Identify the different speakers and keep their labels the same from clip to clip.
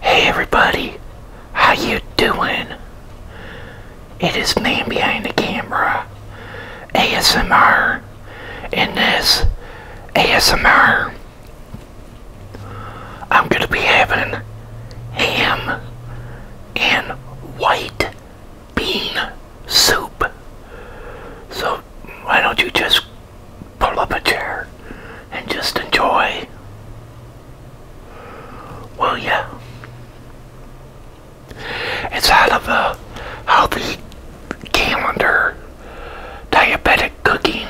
Speaker 1: Hey everybody, how you doing? It is man behind the camera, ASMR, and this ASMR. I'm gonna be having ham and white bean soup. So why don't you just pull up a chair and just enjoy? Will ya? It's out of a how calendar diabetic cooking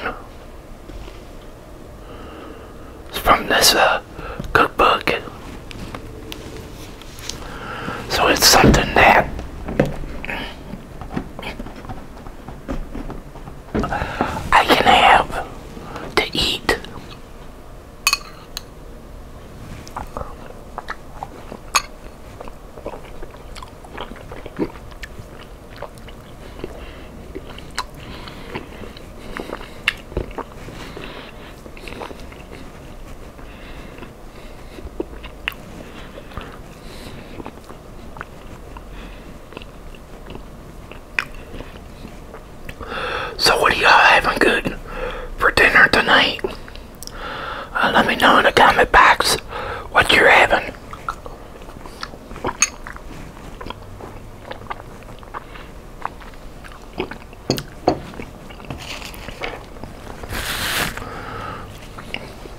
Speaker 1: it's from this uh, cookbook. So it's something that I can have to eat. So what are y'all having good for dinner tonight? Uh, let me know in the comment box what you're having.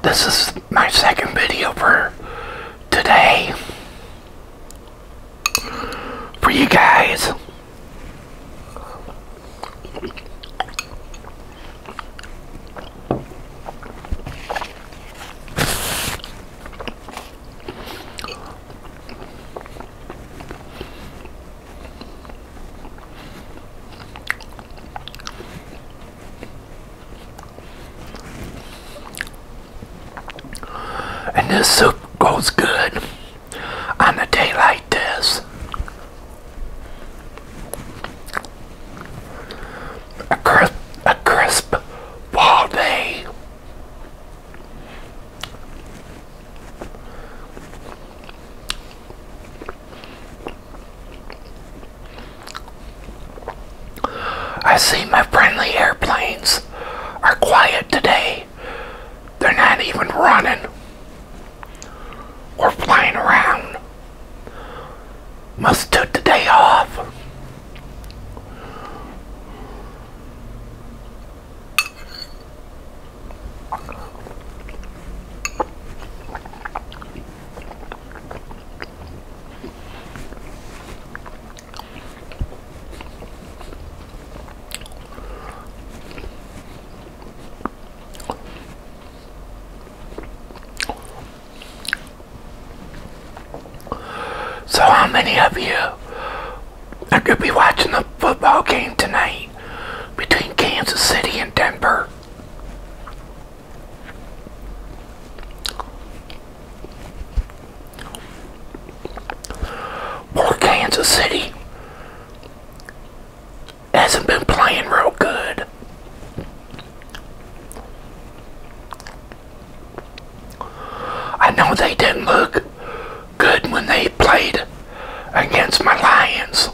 Speaker 1: This is my second video for today for you guys. And this soup goes good on a day like this a crisp, a crisp fall day. I see my friendly airplanes are quiet today. They're not even running or flying around must took the day off. So, how many of you are going to be watching the football game tonight between Kansas City and Denver? Poor Kansas City hasn't been playing real good. I know they didn't look good when they played against my Lions.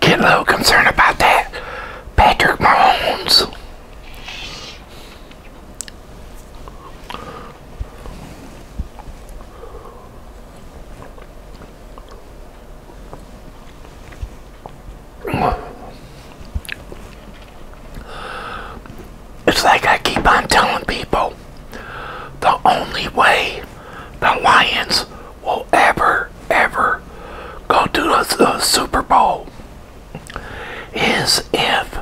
Speaker 1: Get a little concerned about that. Patrick Mahomes. It's like I keep on telling people the only way the Lions will ever, ever go to the Super Bowl is if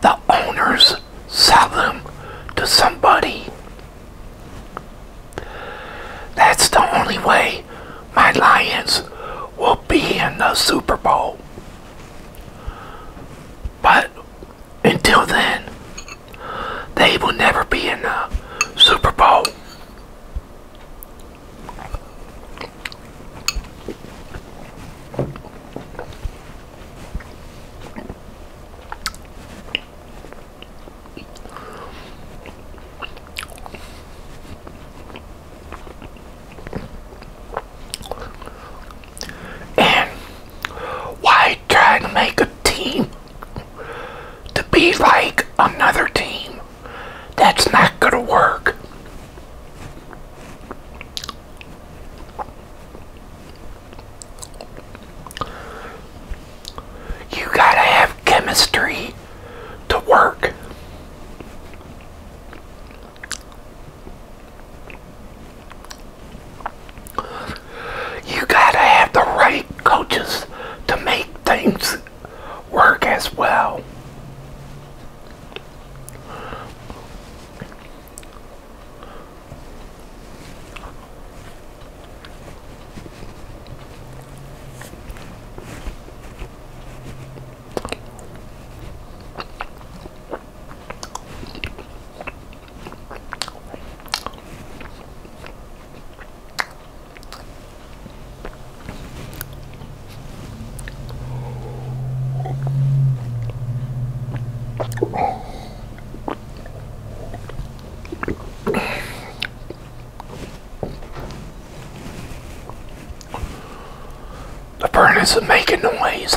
Speaker 1: the owners sell them to somebody. That's the only way my Lions will be in the Super Bowl. But until then, they will never be in the Super Bowl. why trying to make a team to be like another team. That's not going to work. You got to have chemistry to work. You gotta have the right coaches to make things work as well. The furnace is making noise.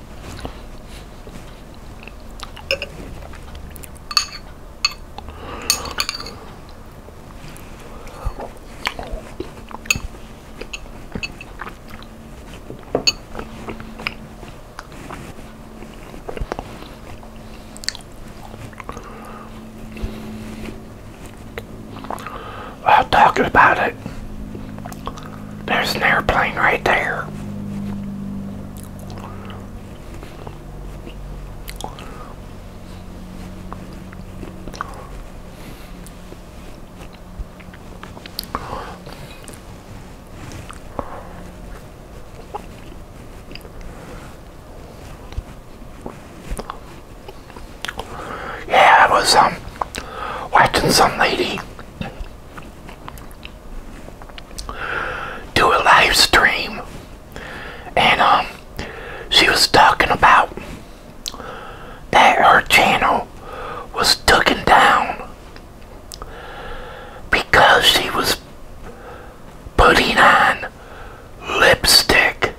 Speaker 1: While talking about it, there's an airplane right there. Yeah, I was um watching some lady do a live stream and um she was talking about that her channel was taken down because she was putting on lipstick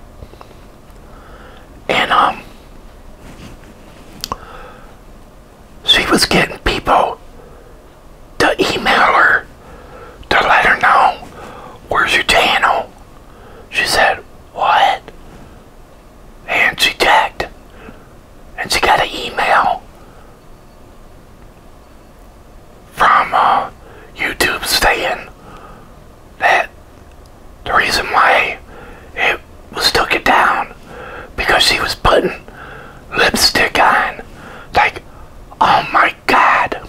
Speaker 1: and um she was getting people to email her to let her know where's your channel. She said, What? And she checked. And she got an email from uh, YouTube saying that the reason why it was took it down because she was putting lipstick on. Like, oh my god.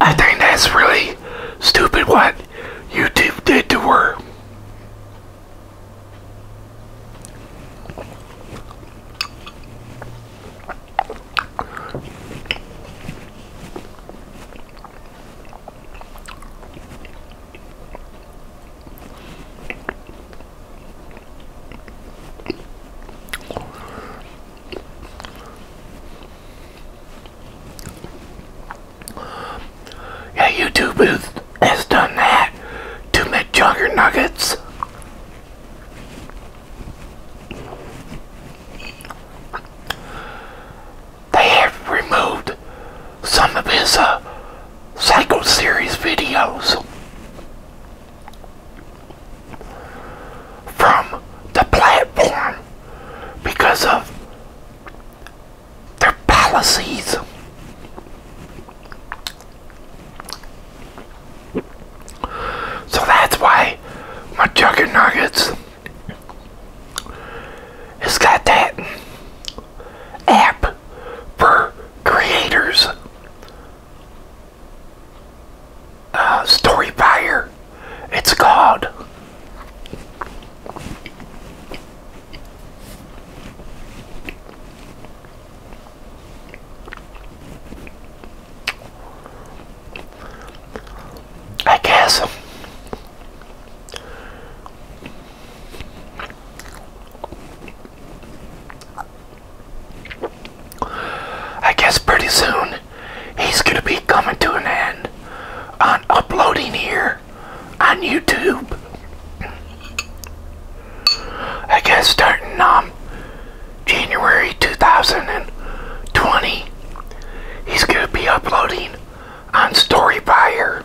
Speaker 1: I think that's really stupid what YouTube did to her. Yeah, YouTube has, has done that to McJugger Nuggets they have removed some of his uh, Psycho Series videos from the platform because of their policies. So that's why my chicken nuggets it's got that app for creators. Uh, Story Fire, it's called. I guess I guess pretty soon he's going to be coming to an end on uploading here on YouTube. I guess starting um January 2020 he's going to be uploading on Storyfire.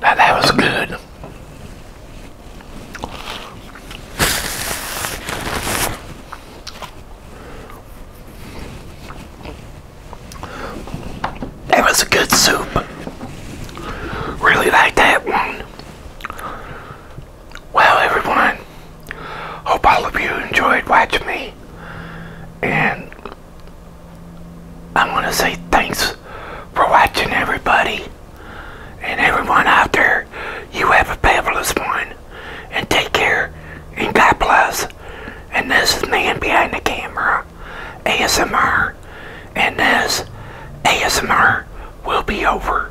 Speaker 1: that was good. That was a good soup. Really like that one. Well, everyone, hope all of you enjoyed watching me. And I am going to say thanks for watching, everybody. And everyone out there, you have a fabulous one. And take care, and God bless. And this is Man Behind the Camera, ASMR. And this ASMR will be over.